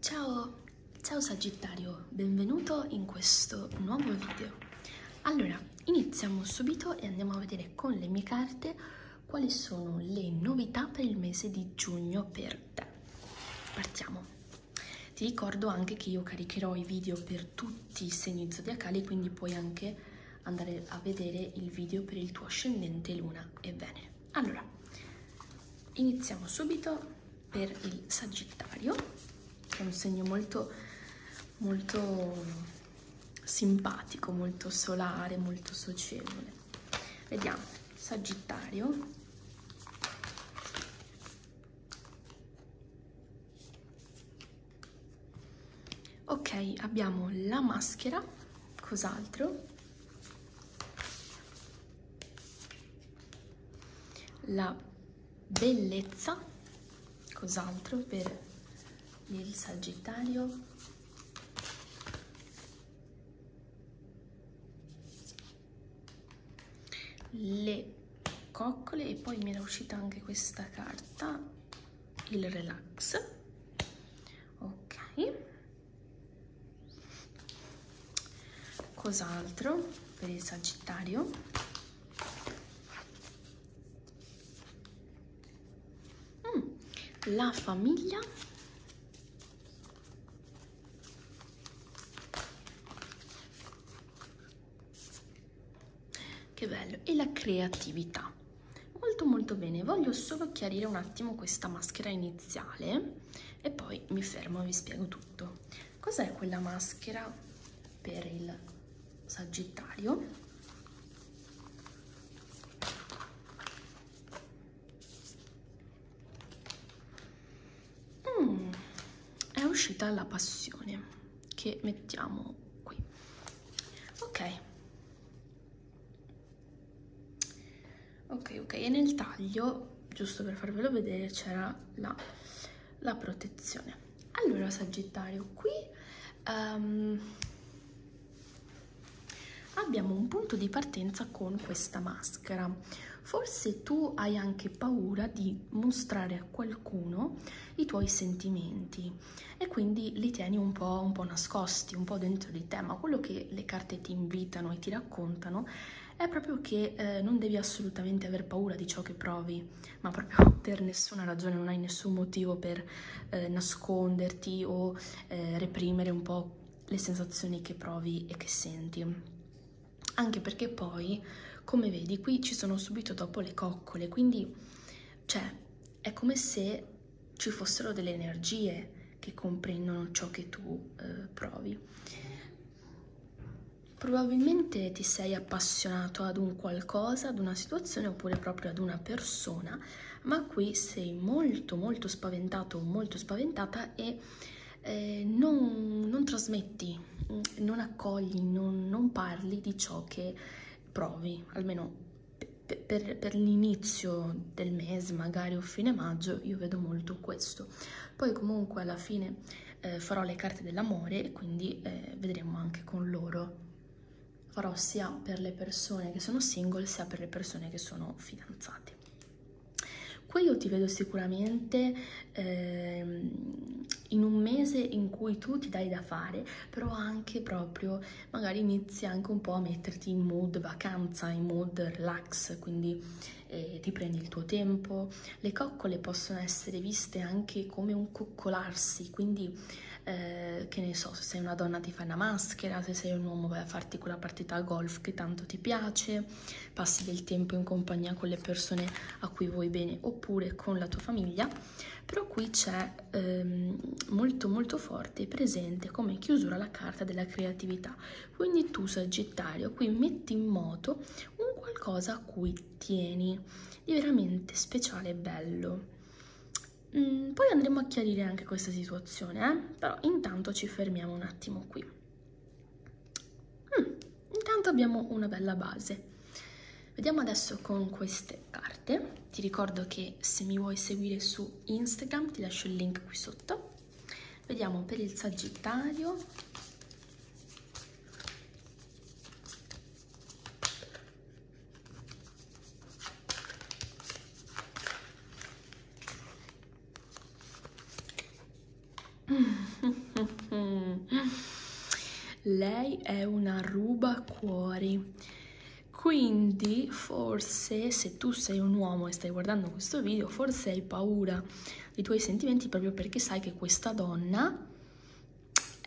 Ciao, ciao Sagittario, benvenuto in questo nuovo video. Allora, iniziamo subito e andiamo a vedere con le mie carte quali sono le novità per il mese di giugno per te. Partiamo. Ti ricordo anche che io caricherò i video per tutti i segni zodiacali, quindi puoi anche andare a vedere il video per il tuo ascendente luna e Venere. Allora, iniziamo subito per il Sagittario, che è un segno molto, molto simpatico, molto solare, molto socievole. Vediamo, Sagittario. Ok, abbiamo la maschera, cos'altro? la bellezza, cos'altro per il sagittario? Le coccole e poi mi era uscita anche questa carta, il relax. Ok. Cos'altro per il Sagittario? Mm, la famiglia. Che bello. E la creatività. Molto molto bene. Voglio solo chiarire un attimo questa maschera iniziale e poi mi fermo e vi spiego tutto. Cos'è quella maschera per il sagittario? Mm, è uscita la passione che mettiamo qui. Ok ok ok e nel taglio giusto per farvelo vedere c'era la, la, protezione allora sagittario qui um, abbiamo un punto di partenza con questa maschera forse tu hai anche paura di mostrare a qualcuno i tuoi sentimenti e quindi li tieni un po', un po nascosti, un po' dentro di te, ma quello che le, carte ti invitano e ti raccontano è proprio che eh, non devi assolutamente aver paura di ciò che provi, ma proprio per nessuna ragione, non hai nessun motivo per eh, nasconderti o eh, reprimere un po' le sensazioni che provi e che senti. Anche perché poi, come vedi, qui ci sono subito dopo le coccole, quindi cioè, è come se ci fossero delle energie che comprendono ciò che tu eh, provi. Probabilmente ti sei appassionato ad un qualcosa, ad una situazione oppure proprio ad una persona, ma qui sei molto molto spaventato, molto spaventata e eh, non, non, trasmetti, non accogli, non, non parli di ciò che provi, almeno per, per l'inizio del mese magari o fine maggio io vedo molto questo poi comunque alla fine eh, farò le carte dell'amore e quindi eh, vedremo anche con loro farò sia per le persone che sono single sia per le persone che sono fidanzate qui io ti vedo sicuramente eh, in un mese in cui tu ti dai da fare però anche proprio magari inizi anche un po' a metterti in mood vacanza, in mood relax, quindi eh, ti prendi il tuo tempo. Le coccole possono essere viste anche come un coccolarsi, quindi eh, che ne so, se sei una donna ti fai una maschera, se sei un uomo vai a farti quella partita a golf che tanto ti piace, passi del tempo in compagnia con le persone a cui vuoi bene oppure con la tua famiglia, però qui c'è ehm, molto molto forte e presente come chiusura la carta della creatività. Quindi tu, Sagittario, qui metti in moto un qualcosa a cui tieni, di veramente speciale e bello. Mm, poi andremo a chiarire anche questa situazione, eh? però intanto ci fermiamo un attimo qui. Mm, intanto abbiamo una bella base. Vediamo adesso con queste carte ti ricordo che se mi vuoi seguire su Instagram ti lascio il link qui sotto. Vediamo per il Sagittario. Lei è una ruba cuori quindi forse se tu sei un uomo e stai guardando questo video, forse hai paura dei tuoi sentimenti proprio perché sai che questa donna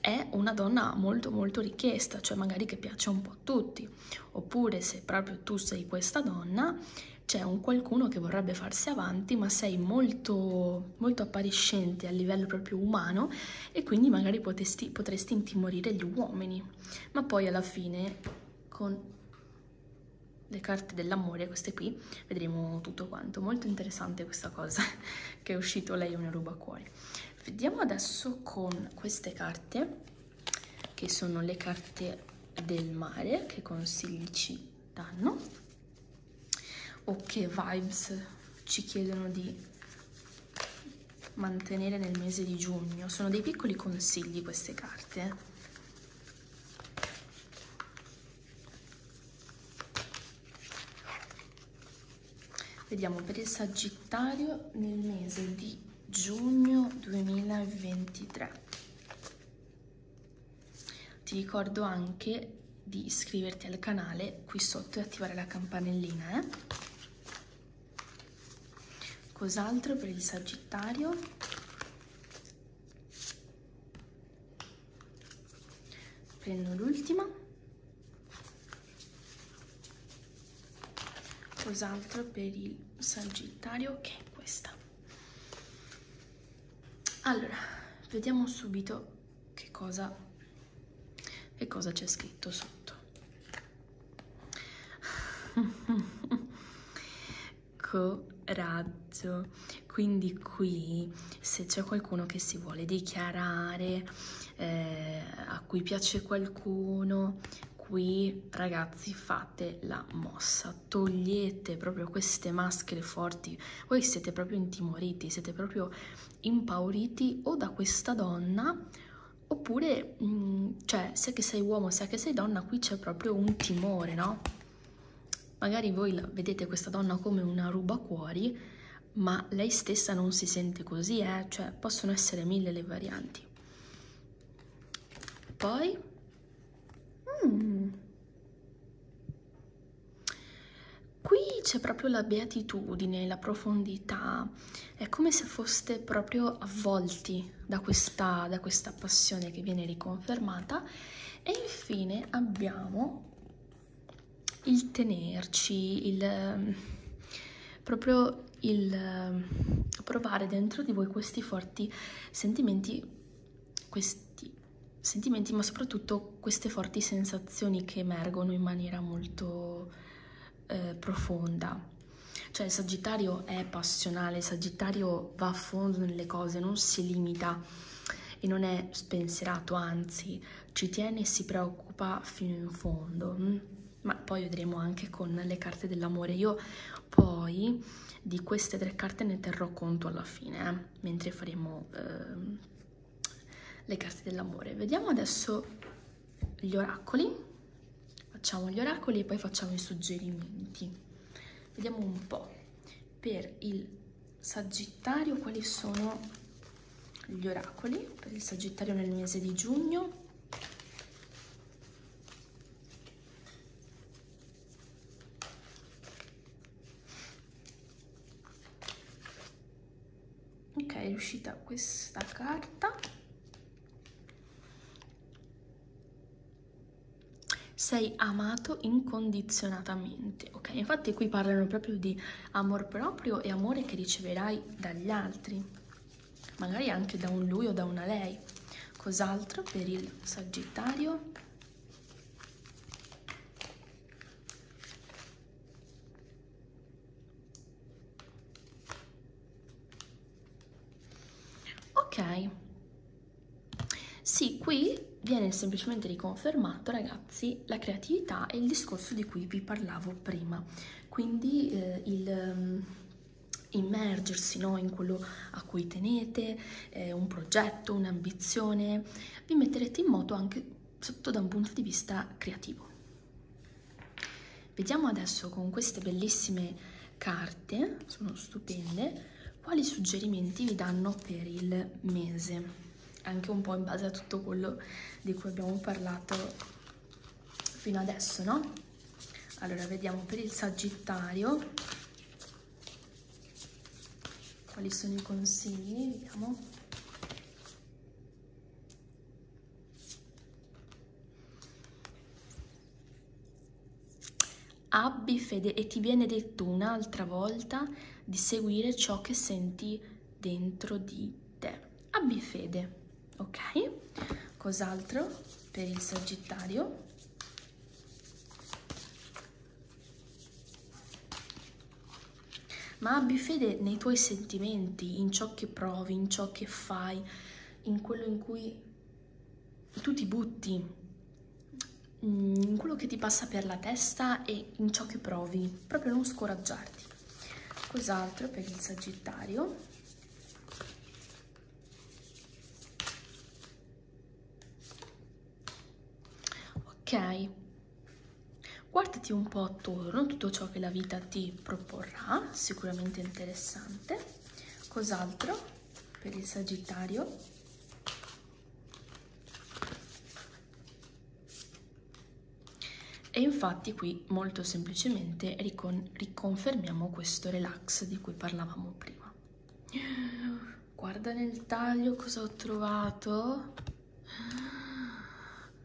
è una donna molto molto richiesta, cioè magari che piace un po' a tutti. Oppure se proprio tu sei questa donna, c'è un qualcuno che vorrebbe farsi avanti, ma sei molto, molto appariscente a livello proprio umano e quindi magari potresti, potresti intimorire gli uomini ma poi alla fine con le carte dell'amore, queste qui, vedremo tutto quanto. Molto interessante questa cosa che è uscito lei una ruba a cuore. Vediamo adesso con queste carte, che sono le carte del mare, che consigli ci danno, o che vibes ci chiedono di mantenere nel mese di giugno. Sono dei piccoli consigli queste carte. Eh. Vediamo per il Sagittario nel mese di giugno 2023. Ti ricordo anche di iscriverti al canale qui sotto e attivare la campanellina. Eh? Cos'altro per il Sagittario? Prendo l'ultima. Cos'altro per il Sagittario? Che okay, è questa. Allora, vediamo subito che cosa che cosa c'è scritto sotto. Coraggio. Quindi qui se c'è qualcuno che si vuole dichiarare, eh, a cui piace qualcuno, qui ragazzi fate la mossa, togliete proprio queste maschere forti, voi siete proprio intimoriti, siete proprio impauriti o da questa donna Oppure, mh, mm, cioè, sia che sei uomo sia che sei donna, qui c'è proprio un timore, no? Magari voi vedete questa donna come una rubacuori, ma lei stessa non si sente così, eh? Cioè, possono essere mille le varianti. Poi... Mm, qui c'è proprio la beatitudine, la profondità, è come se foste proprio avvolti da questa, da questa passione che viene riconfermata e infine abbiamo il tenerci, il proprio il provare dentro di voi questi forti sentimenti, questi sentimenti, ma soprattutto queste forti sensazioni che emergono in maniera molto eh, profonda. Cioè il Sagittario è passionale, il Sagittario va a fondo nelle cose, non si limita e non è spensierato, anzi ci tiene e si preoccupa fino in fondo. Mm? Ma poi vedremo anche con le carte dell'amore. Io poi di queste tre carte ne terrò conto alla fine, eh? mentre faremo eh, le carte dell'amore. Vediamo adesso gli oracoli, facciamo gli oracoli e poi facciamo i suggerimenti. Vediamo un po', per il Sagittario quali sono gli oracoli, per il Sagittario nel mese di giugno ok è uscita questa carta 6 amato incondizionatamente ok infatti qui parlano proprio di amor proprio e amore che riceverai dagli altri magari anche da un lui o da una lei cos'altro per il sagittario ok sì qui viene semplicemente riconfermato ragazzi la creatività e il discorso di cui vi parlavo prima quindi eh, il um, immergersi no, in quello a cui tenete, eh, un progetto, un'ambizione, vi metterete in moto anche sotto da un punto di vista creativo. Vediamo adesso con queste bellissime carte, sono stupende, quali suggerimenti vi danno per il mese. Anche un po' in base a tutto quello di cui abbiamo parlato fino adesso, no? Allora, vediamo per il Sagittario quali sono i consigli, vediamo. Abbi fede e ti viene detto un'altra volta di seguire ciò che senti dentro di te. Abbi fede, ok? Cos'altro per il Sagittario? ma abbi fede nei tuoi sentimenti, in ciò che provi, in ciò che fai, in quello in cui tu ti butti, mm, in quello che ti passa per la testa e in ciò che provi, proprio non scoraggiarti. Cos'altro per il Sagittario? Ok, Guardati un po' attorno, tutto ciò che la vita ti proporrà, sicuramente interessante. Cos'altro per il Sagittario? E infatti qui molto semplicemente ricon riconfermiamo questo relax di cui parlavamo prima. Guarda nel taglio cosa ho trovato.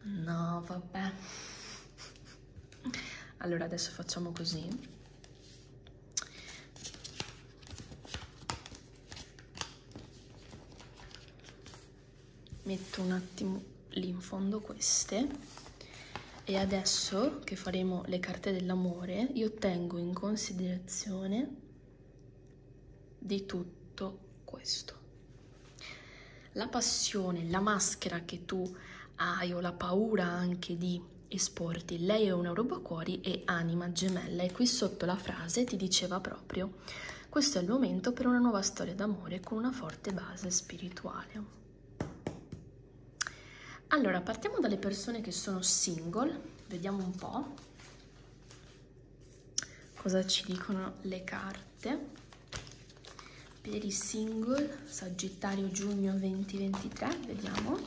No, vabbè. Allora, adesso facciamo così. Metto un attimo lì in fondo queste. E adesso che faremo le carte dell'amore, io tengo in considerazione di tutto questo. La passione, la maschera che tu hai o la paura anche di esporti, lei è un eurobacuori e anima gemella e qui sotto la frase ti diceva proprio questo è il momento per una nuova storia d'amore con una forte base spirituale. Allora, partiamo dalle persone che sono single, vediamo un po' cosa ci dicono le carte per i single Sagittario giugno 2023 vediamo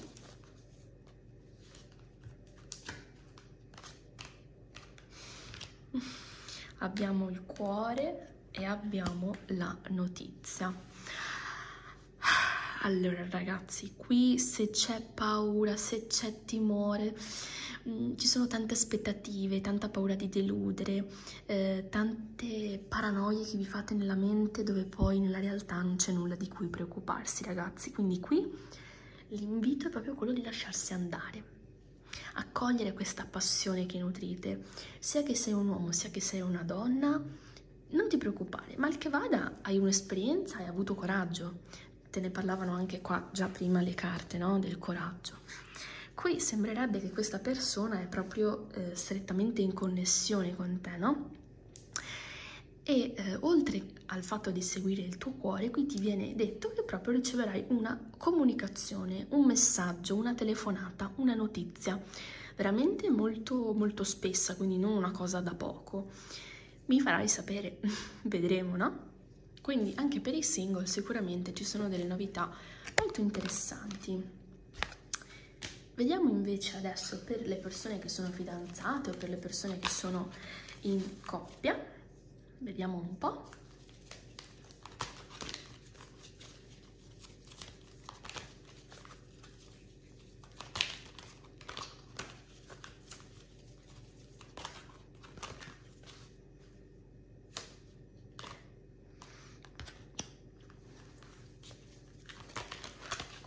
abbiamo il cuore e abbiamo la notizia allora ragazzi, qui se c'è paura, se c'è c'è timore, mh, mm, ci sono tante aspettative, tanta paura di deludere, eh, tante paranoie che vi fate nella mente dove poi nella realtà non c'è nulla di cui preoccuparsi ragazzi, quindi qui l'invito è proprio quello di lasciarsi andare accogliere questa passione che nutrite, sia che sei un uomo, sia che sei una donna, non ti preoccupare, mal che vada hai un'esperienza, hai avuto coraggio, te ne parlavano anche qua già prima le carte, no? Del coraggio. Qui sembrerebbe che questa persona è proprio eh, strettamente in connessione con te, no? E eh, oltre al fatto di seguire il tuo cuore, qui ti viene detto che proprio riceverai una comunicazione, un messaggio, una telefonata, una notizia, veramente molto molto spessa, quindi non una cosa da poco. Mi farai sapere, vedremo, no? Quindi anche per i single sicuramente ci sono delle novità molto interessanti. Vediamo invece adesso per le persone che sono fidanzate o per le persone che sono in coppia. Vediamo un po'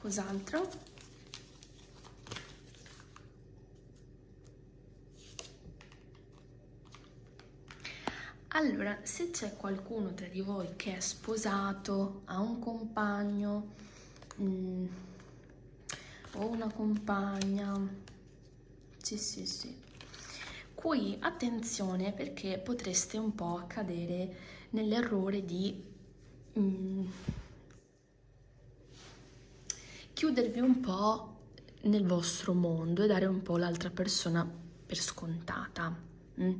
cos'altro allora se c'è qualcuno tra di voi che è sposato ha un compagno mh, mm, o una compagna sì, sì, sì. Qui attenzione perché potreste un po' cadere nell'errore di mm, chiudervi un po' nel vostro mondo e dare un po' l'altra persona per scontata. Mm?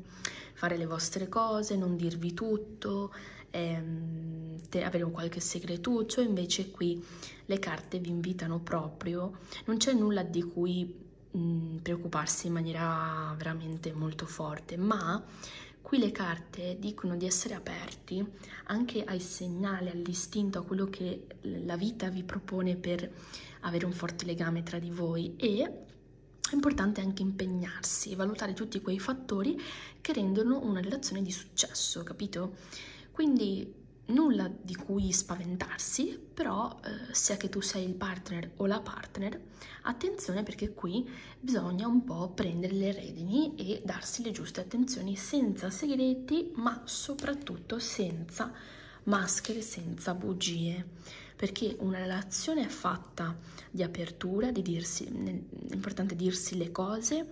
Fare le vostre cose, non dirvi tutto, ehm, avere un qualche segretuccio, invece qui le carte vi invitano proprio, non c'è nulla di cui mh, mm, preoccuparsi in maniera veramente molto forte, ma qui le carte dicono di essere aperti anche ai segnali, all'istinto, a quello che la vita vi propone per avere un forte legame tra di voi e è importante anche impegnarsi e valutare tutti quei fattori che rendono una relazione di successo, capito? Quindi nulla di cui spaventarsi, però eh, sia che tu sei il partner o la partner, attenzione perché qui bisogna un po' prendere le redini e darsi le giuste attenzioni senza segreti, ma soprattutto senza maschere, senza bugie, perché una relazione è fatta di apertura, di dirsi, è importante dirsi le cose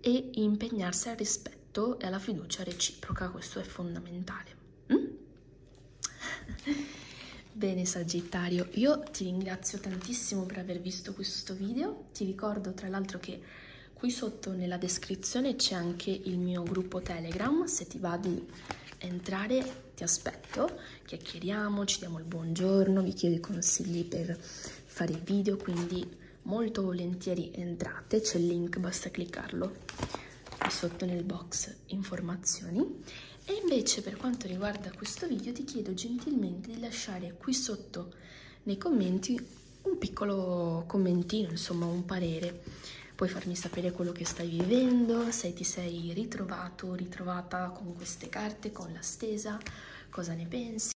e impegnarsi al rispetto rispetto e alla fiducia reciproca, questo è fondamentale. Mm? Bene Sagittario, io ti ringrazio tantissimo per aver visto questo video, ti ricordo tra l'altro che qui sotto nella descrizione c'è anche il mio gruppo Telegram, se ti va di entrare ti aspetto, chiacchieriamo, ci diamo il buongiorno, vi chiedo i consigli per fare il video, quindi molto volentieri entrate, c'è il link, basta cliccarlo qui sotto nel box informazioni. E invece per quanto riguarda questo video ti chiedo gentilmente di lasciare qui sotto nei commenti un piccolo commentino, insomma un parere. Puoi farmi sapere quello che stai vivendo, se ti sei ritrovato, ritrovata con queste carte, con la stesa, cosa ne pensi.